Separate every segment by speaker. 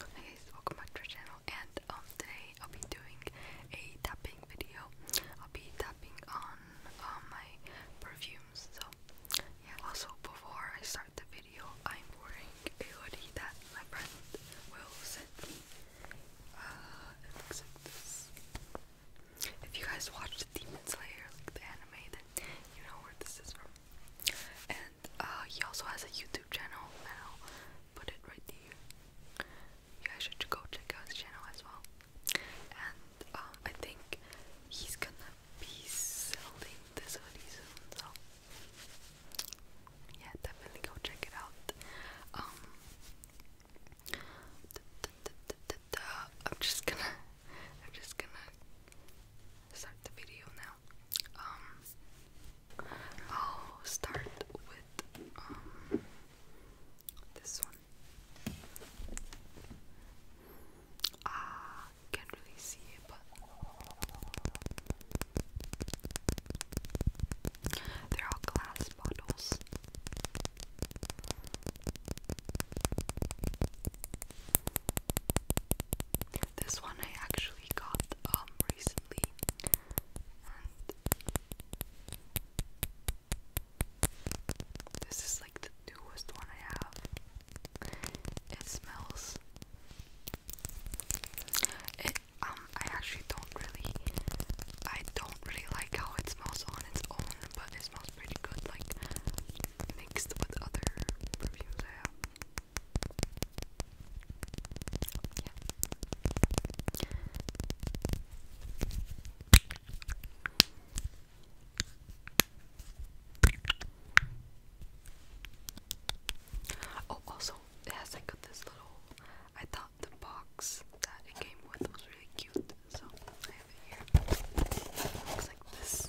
Speaker 1: Hi guys, welcome back to our channel and um, today I'll be doing a tapping video. I'll be tapping on uh, my perfumes. So yeah, also before I start the video I'm wearing a hoodie that my friend will send me. Uh, it looks like this. If you guys watched Demon Slayer, like the anime, then you know where this is from and uh, he also has a YouTube channel, and put it right there. You guys should go check out his channel as well. And um, I think he's gonna be selling this hoodie soon, so yeah, definitely go check it out. Um, I'm just gonna, I'm just gonna start the video now. Um, I'll start with um, this one. Ah, can't really see it, but they're all glass bottles. This one I actually got um recently lovely and this is like the newest one I have. It smells it um I actually don't really I don't really like how it smells on its own but it smells pretty good like mixed with other perfumes I have. Yeah. Oh, also, it has like this little. I thought the box that it came with was really cute, so I have it here. It like this.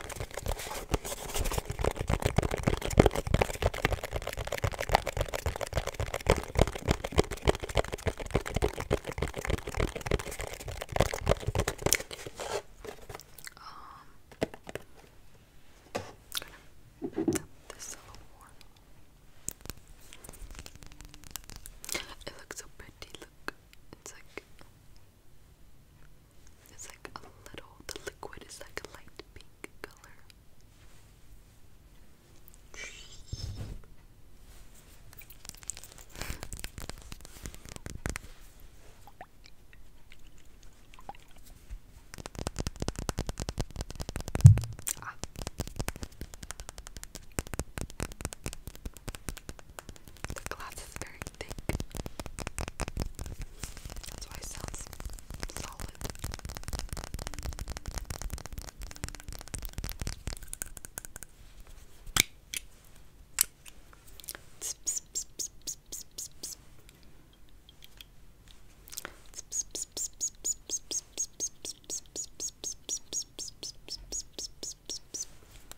Speaker 1: Um, this a little more. It looks so pretty. Look, it's like it's like a little, the liquid is like a light pink color. Ah. The glass is very thick. That's it sounds solid.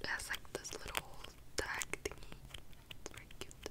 Speaker 1: It has like this little tag thingy. It's very cute.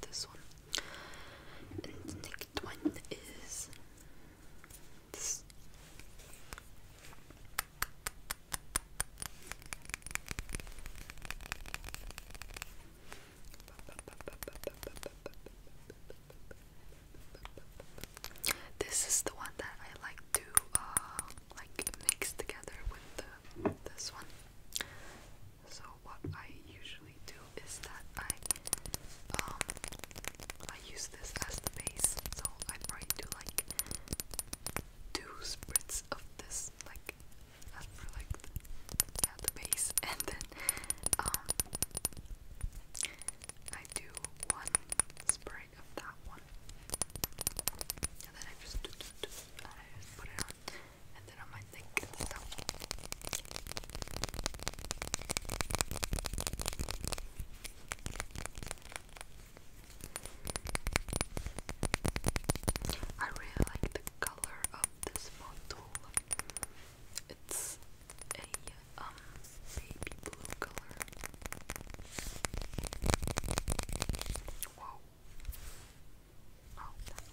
Speaker 1: this one. And the next is this. is the one that I like to uh, like mix together with this one. So what I usually do is that I um I use this as the base. So I probably do like two spritz of this like as for like the, yeah the base and then um I do one spray of that one and then I just do, do, do, and I and then I really like the color of this bottle. It's a um baby blue color. Whoa. Oh, that's Thank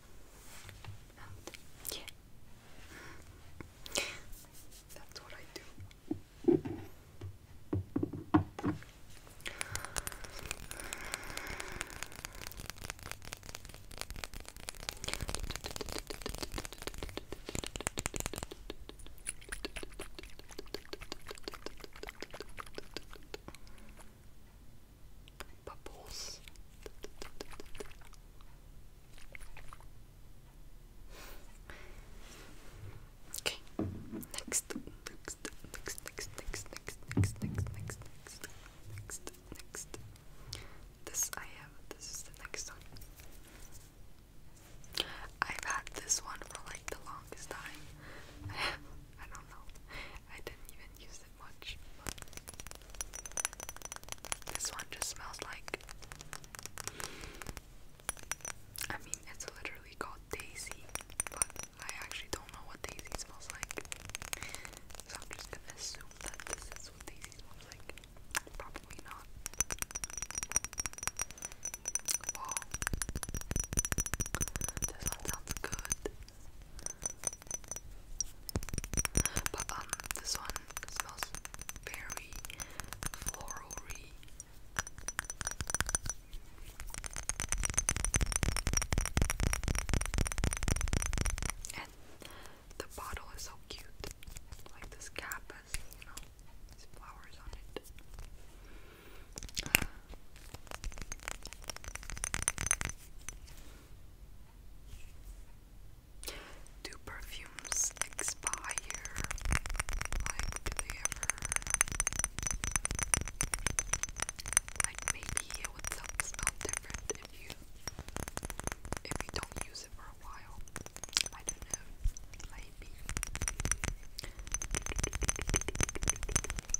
Speaker 1: And yeah, that's what I do bubbles. Okay, next, next, next, next, next, next, next, next, next, next, next, This I have. This is the next one. I've had this one for like the longest time. I don't know. I didn't even use it this one just smells like. I mean, it's literally called Daisy, but I actually don't know what Daisy smells like. So I'm just gonna assume that this is what Daisy smells like. Probably not. Whoa. This one sounds good. But um, this one smells very florally. And the bottle is so cute. Like this cap has, you know, these flowers on it. Do perfumes expire? Like, they ever. Like, maybe it would smell different if you. If you don't use it for a while. I don't know. Maybe.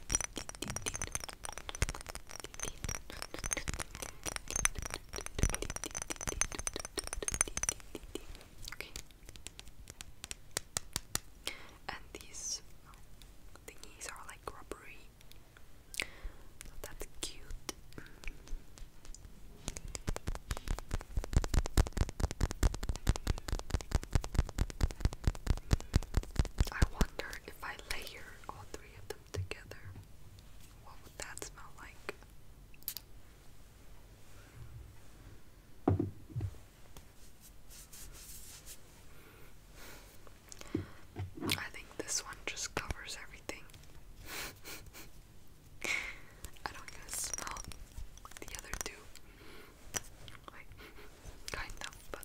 Speaker 1: Okay. And these thingies are like rubbery. So that's cute. I wonder if I layer all three of them together, what would that smell like? I think this one just covers everything. I don't even smell the other two kind of, but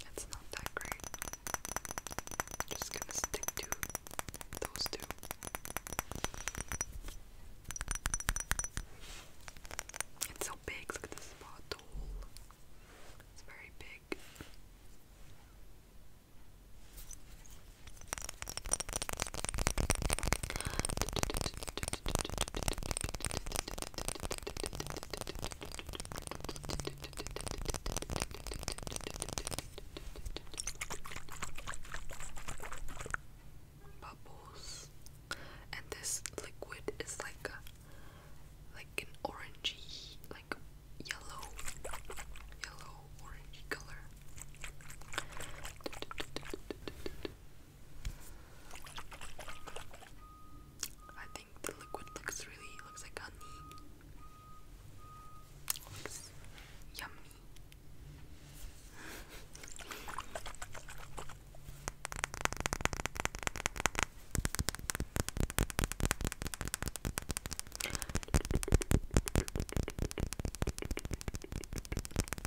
Speaker 1: it's not that great. just gonna stick to those two. It's so big, look at this spot, It's very big. Bubbles. And this liquid is like a, like an orangey, like yellow, yellow orangey color. I think the liquid looks really looks like honey. Looks yummy.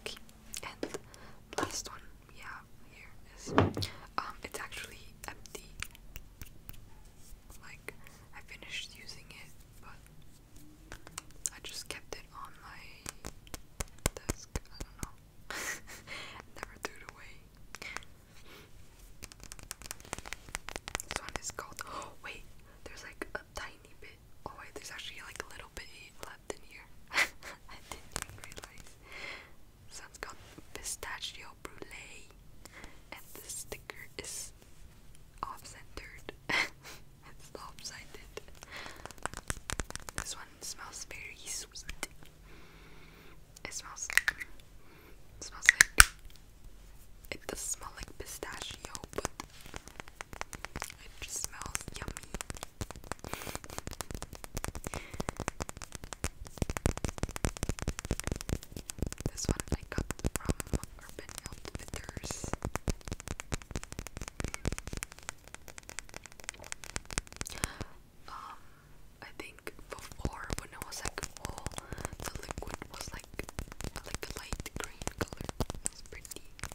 Speaker 1: Okay, and the last one we have here is um it's actually empty. Like I finished using it, but I just kept it on my desk. I don't know. Never threw it away. This one is called. Oh wait, there's like tiny bit. Oh wait, there's actually like a little bit left in here. I didn't realize. So got pistachio brulee, and the sticker is off-centered. it's lopsided. This one smells very sweet. It smells. smells it does smell like pistachio, but it just smells yummy. This one I got from Urban Outfitters. Um, I think before when it was like all the liquid was like I like the light green color. It's pretty. Wow.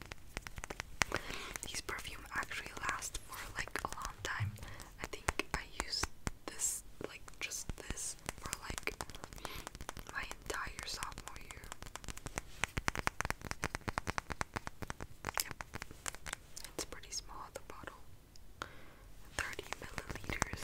Speaker 1: These perfume actually last for like a long time. I think I used this like just this for like my entire sophomore year. It's pretty small the bottle. 30 milliliters.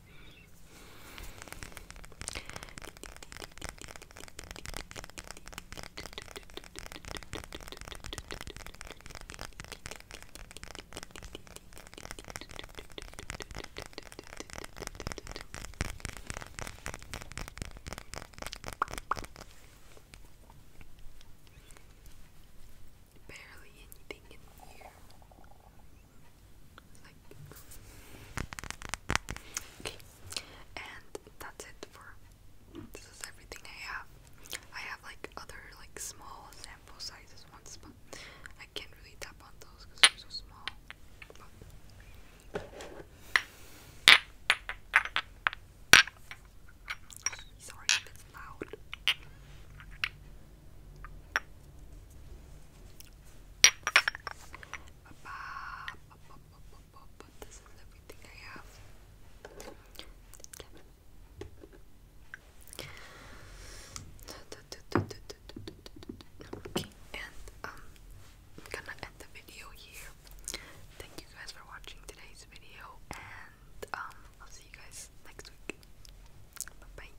Speaker 1: Barely anything in here like okay and that's it for this is everything I have I have like other like small sample sizes ones but I can't really tap on those because they're so small sorry if it's loud and I'm um, gonna end the video here. Thank you guys for watching today's video, and I'll see you guys next week. bye.